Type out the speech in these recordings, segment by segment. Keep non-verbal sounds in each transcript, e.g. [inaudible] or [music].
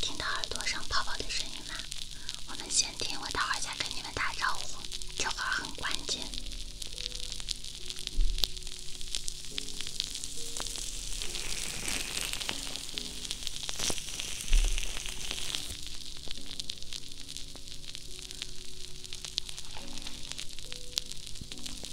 听到耳朵上泡泡的声音吗？我们先听，我会儿再跟你们打招呼，这话很关键。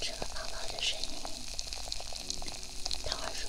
这个宝宝的声音，他说。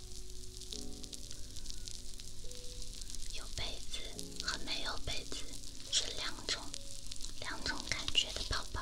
有被子和没有被子是两种两种感觉的泡泡。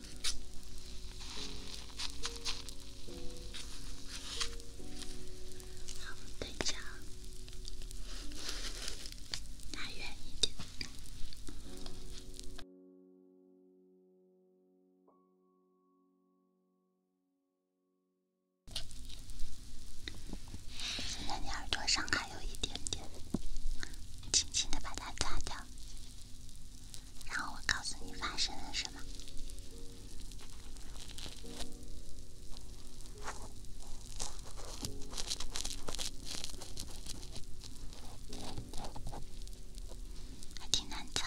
好，等一下，拿远一点。现在你耳朵上还有一点点，轻轻的把它擦掉。然后我告诉你发生了什么，还挺难缠。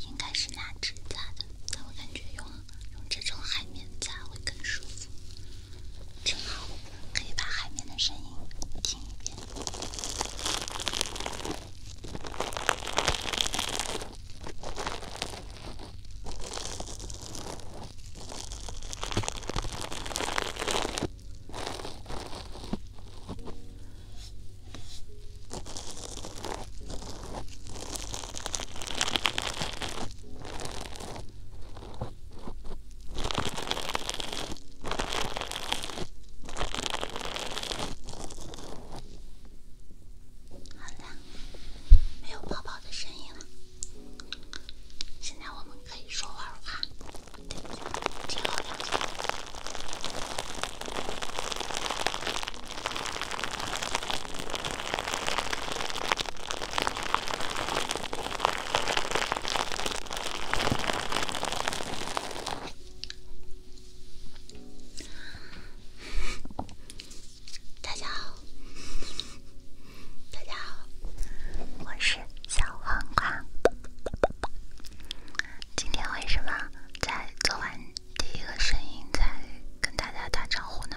应该是拿纸擦的，但我感觉用用这种海绵擦会更舒服，正好可以把海绵的声音听一遍。好了，没有泡泡的声音了。现在我们可以说玩话，对，之后再大家好。大家好，我是小黄瓜。今天为什么在做完第一个声音才跟大家打招呼呢？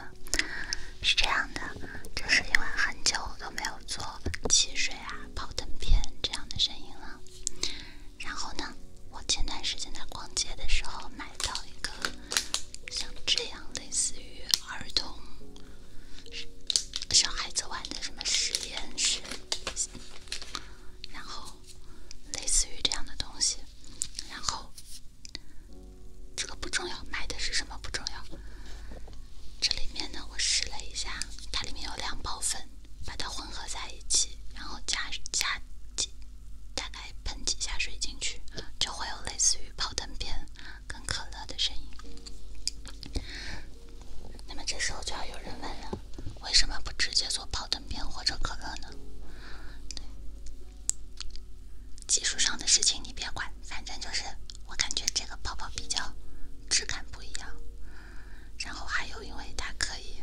是这样的，就是因为很久都没有做汽水啊、泡腾片这样的声音了。然后呢，我前段时间在逛街的时候买到一个像这样类似于儿童。小孩子玩的什么实验室，然后类似于这样的东西，然后这个不重要，买的是什么不重要。这里面呢，我试了一下，它里面有两包粉，把它混合在一起，然后加加几，大概喷几下水进去，就会有类似于泡弹片。跟可乐的声音。那么这时候就要有人问了：为什么不直接做泡腾片或者可乐呢？技术上的事情你别管，反正就是我感觉这个泡泡比较质感不一样。然后还有，因为它可以，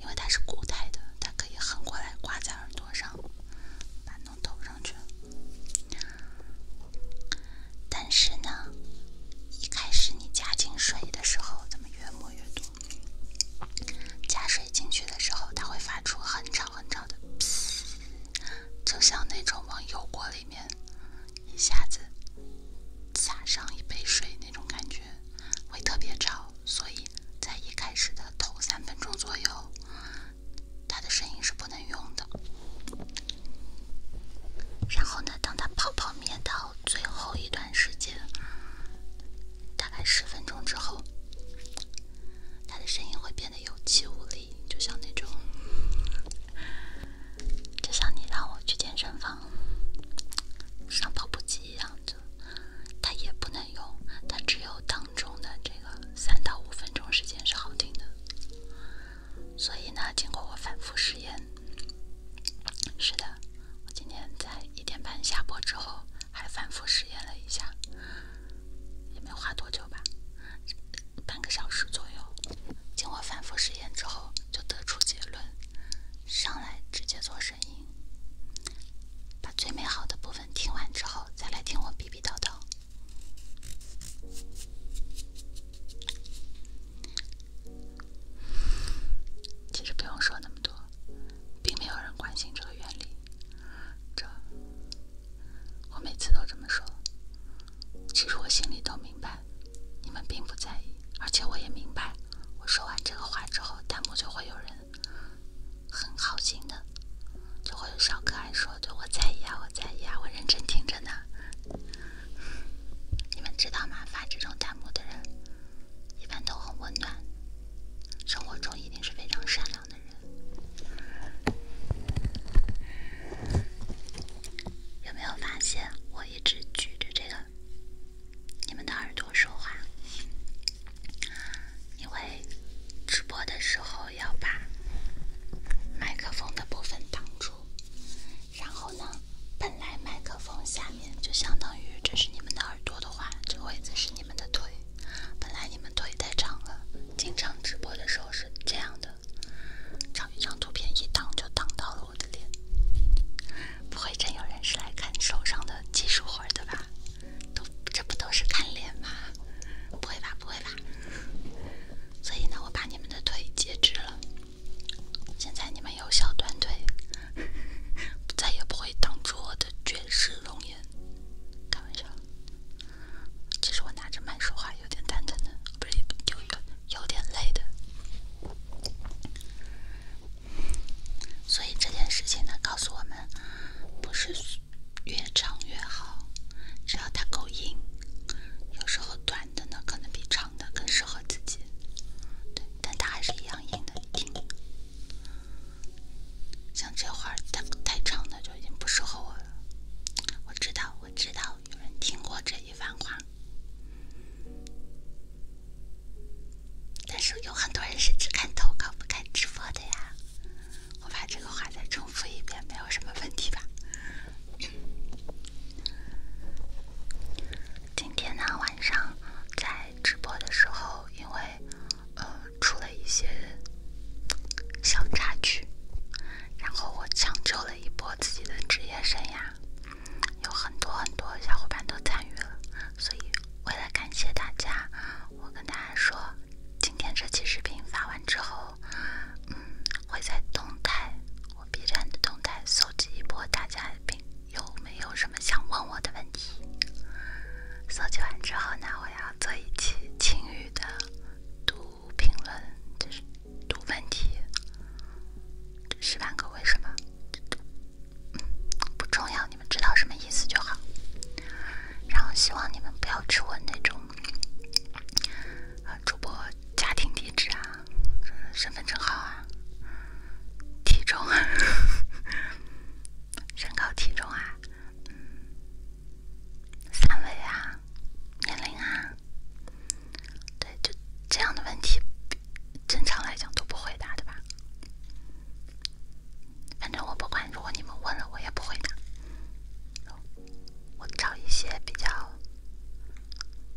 因为它是固态的，它可以横过来挂在耳朵上，把弄头上去。但是呢，一开始你加进水的时候，怎么越摸越多？加水进去的时候，它会发出很吵很吵的“噼”，就像那种往油锅里面一下子撒上一杯水那种感觉，会特别吵。所以在一开始的头三分钟左右。他的声音是不能用的。然后呢，当他泡泡灭到最后一段时间，大概十分钟之后，他的声音会变得有气无力，就像那种，就像你让我去健身房上跑步机一样的，他也不能用，他只有当中的这个。三到五分钟时间是好听的，所以呢，经过我反复实验，是的，我今天在一点半下播之后，还反复实验了一下，也没花多久吧，半个小时左右。经过反复实验之后，就得出结论：上来直接做声音，把最美好的部分听完之后，再来听我逼逼叨叨。其实不用说那么多，并没有人关心这个原理。这，我每次都这么说。其实我心里都明白，你们并不在意，而且我也明白，我说完这个话之后，弹幕就会有人很好心的。就会有小可爱说：“对我在意啊，我在意啊，我认真听着呢。”你们知道吗？发这种弹幕的人，一般都很温暖，生活中一定是非常善良的人。有没有发现，我一直举着这个，你们的耳朵说话？因为直播的时候要把麦克风的部分挡住，然后呢，本来麦克风下面就相当于这是你们的耳朵的话，这个位置是你们的腿。本来你们腿太长了，经常直播的时候是这样的。找一张图片一挡就挡到了我的脸。不会真有人是来看手上的技术活的吧？都这不都是看脸吗？不会吧？不会吧？所以呢，我把你们的腿截肢了，现在你们有小短腿，[laughs] 再也不会挡住我的绝世容颜。开玩笑，其实我拿着麦说话有点蛋疼的，不是有点有点累的。所以这件事情呢，告诉我们，不是。越长越好，只要它够硬。有时候短的呢，可能比长的更适合自己。对，但它还是一样硬的。听，像这会儿太太长的就已经不适合我了。我知道，我知道有人听过这一番话，但是有很多人是只看投稿不看直播的呀。我把这个话再重复一遍，没有什么问题吧？今天呢，晚上在直播的时候，因为呃出了一些小插曲，然后我抢救了一波自己的职业生涯，有很多很多小伙伴都参与了，所以为了感谢大家。我跟大家说，今天这期视频发完之后，嗯，会在动态，我 B 站的动态搜集一波大家并有没有什么想问我的问题。搜集完之后呢，我要做一期晴雨的读评论，就是读问题，十万个为什么，不重要，你们知道什么意思就好。然后希望你们不要直问那种。主播家庭地址啊，身份证号啊，体重啊，身高体重啊，三围啊，年龄啊，对，就这样的问题，正常来讲都不回答，的吧？反正我不管，如果你们问了我也不会答。我找一些比较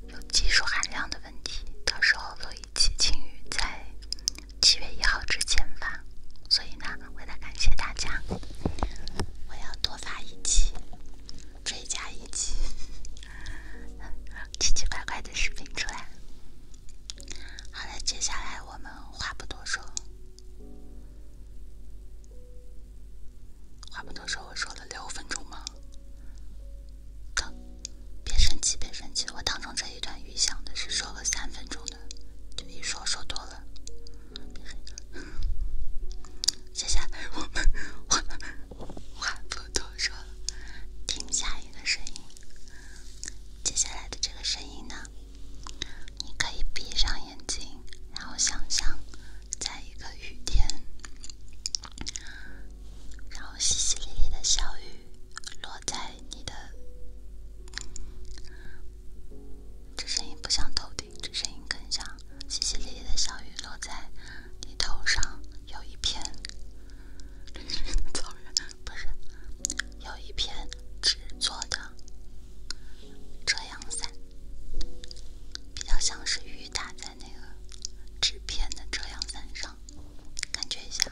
有技术含量的问题，到时候录一期，青鱼在七月一号之前发。所以呢，为了感谢大家，我要多发一期，追加一期 [laughs] 奇奇怪怪的视频出来。好了，接下来我们话不多说。话不多说，我说了六分钟吗？别生气，别生气！我当中这一段预想的是说了三分钟的，就一说说多了。接下来我们话话不多说了，听下雨的声音。接下来的这个声音呢？你可以闭上眼睛，然后想象在一个雨天，然后淅淅沥沥的小雨落在你的……这声音不像头顶，这声音更像淅淅沥沥的小雨落在你头上，有一片…… [laughs] 不是，有一片纸做的。遮阳伞，比较像是雨打在那个纸片的遮阳伞上，感觉一下。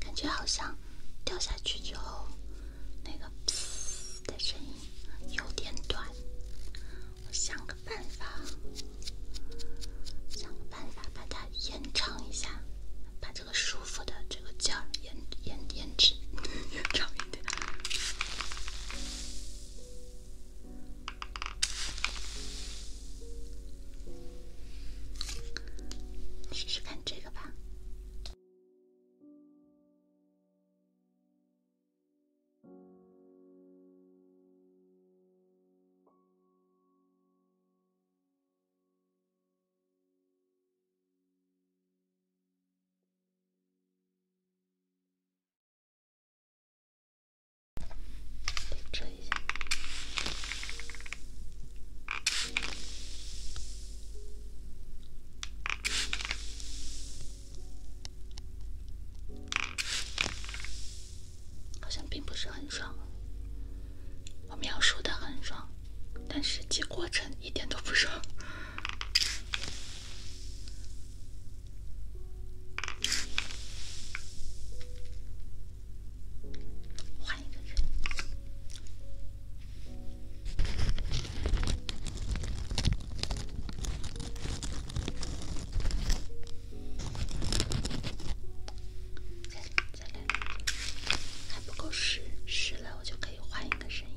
感觉好像掉下去之后，那个“的声音有点短。我想个办法，想个办法把它延长一下，把这个舒服的这个劲儿延延延迟 [laughs] 延长一点。试试看这个吧。一下。好像并不是很爽。我描述的很爽，但实际过程一点都不爽。换一个人，了，我就可以换一个声音。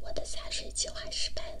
我的撒水计划失败了。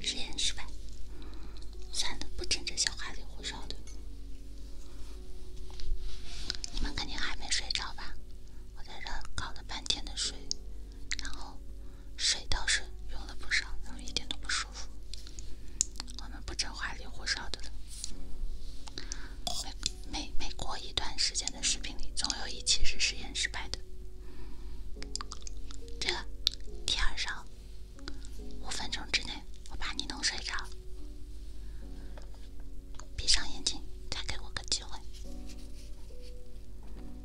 实验失败，算了，不整这些花里胡哨的。你们肯定还没睡着吧？我在这搞了半天的水。然后水倒是用了不少，然后一点都不舒服。我们不整花里胡哨的了。每每每过一段时间的视频里，总有一期是实验失败的。这个第二勺，五分钟之内我把你弄睡着，闭上眼睛，再给我个机会。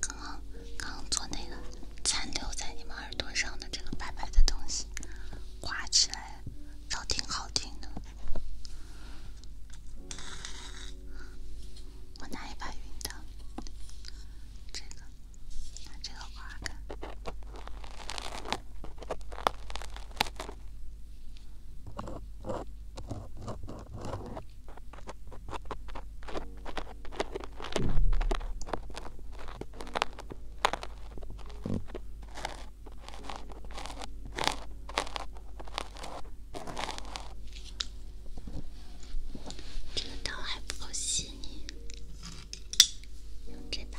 刚刚，刚刚做那个残留在你们耳朵上的这个白白的东西，刮起来倒挺好听的。我拿一把晕刀，这个，拿这个刮开。这个刀还不够细腻，用这把。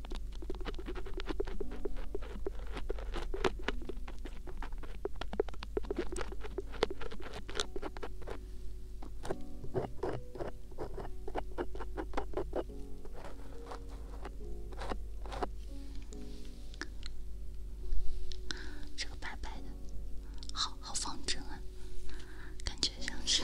这个白白的，好好方正啊，感觉像是。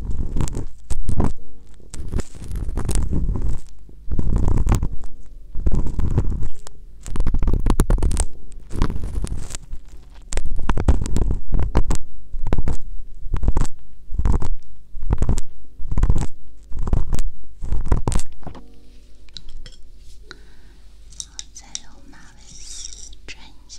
我再用马尾丝转一下。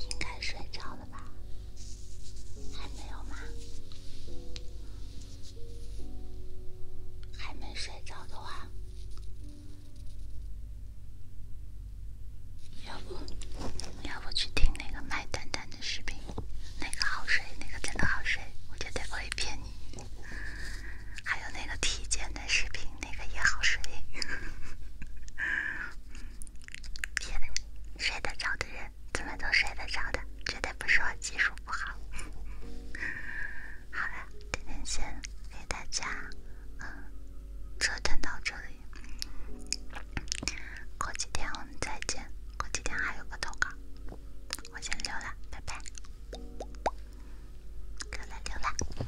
应该睡着了。吧，还没有吗？还没睡着的话，要不要不去听那个麦丹丹的视频？那个好睡，那个真的好睡，我绝对不会骗你。还有那个体检的视频，那个也好睡。现在睡得着的人怎么都睡得着的，绝对不是我技术不好。好了，今天先给大家嗯折腾到这里，过几天我们再见。过几天还有个投稿，我先溜了，拜拜，溜了溜了。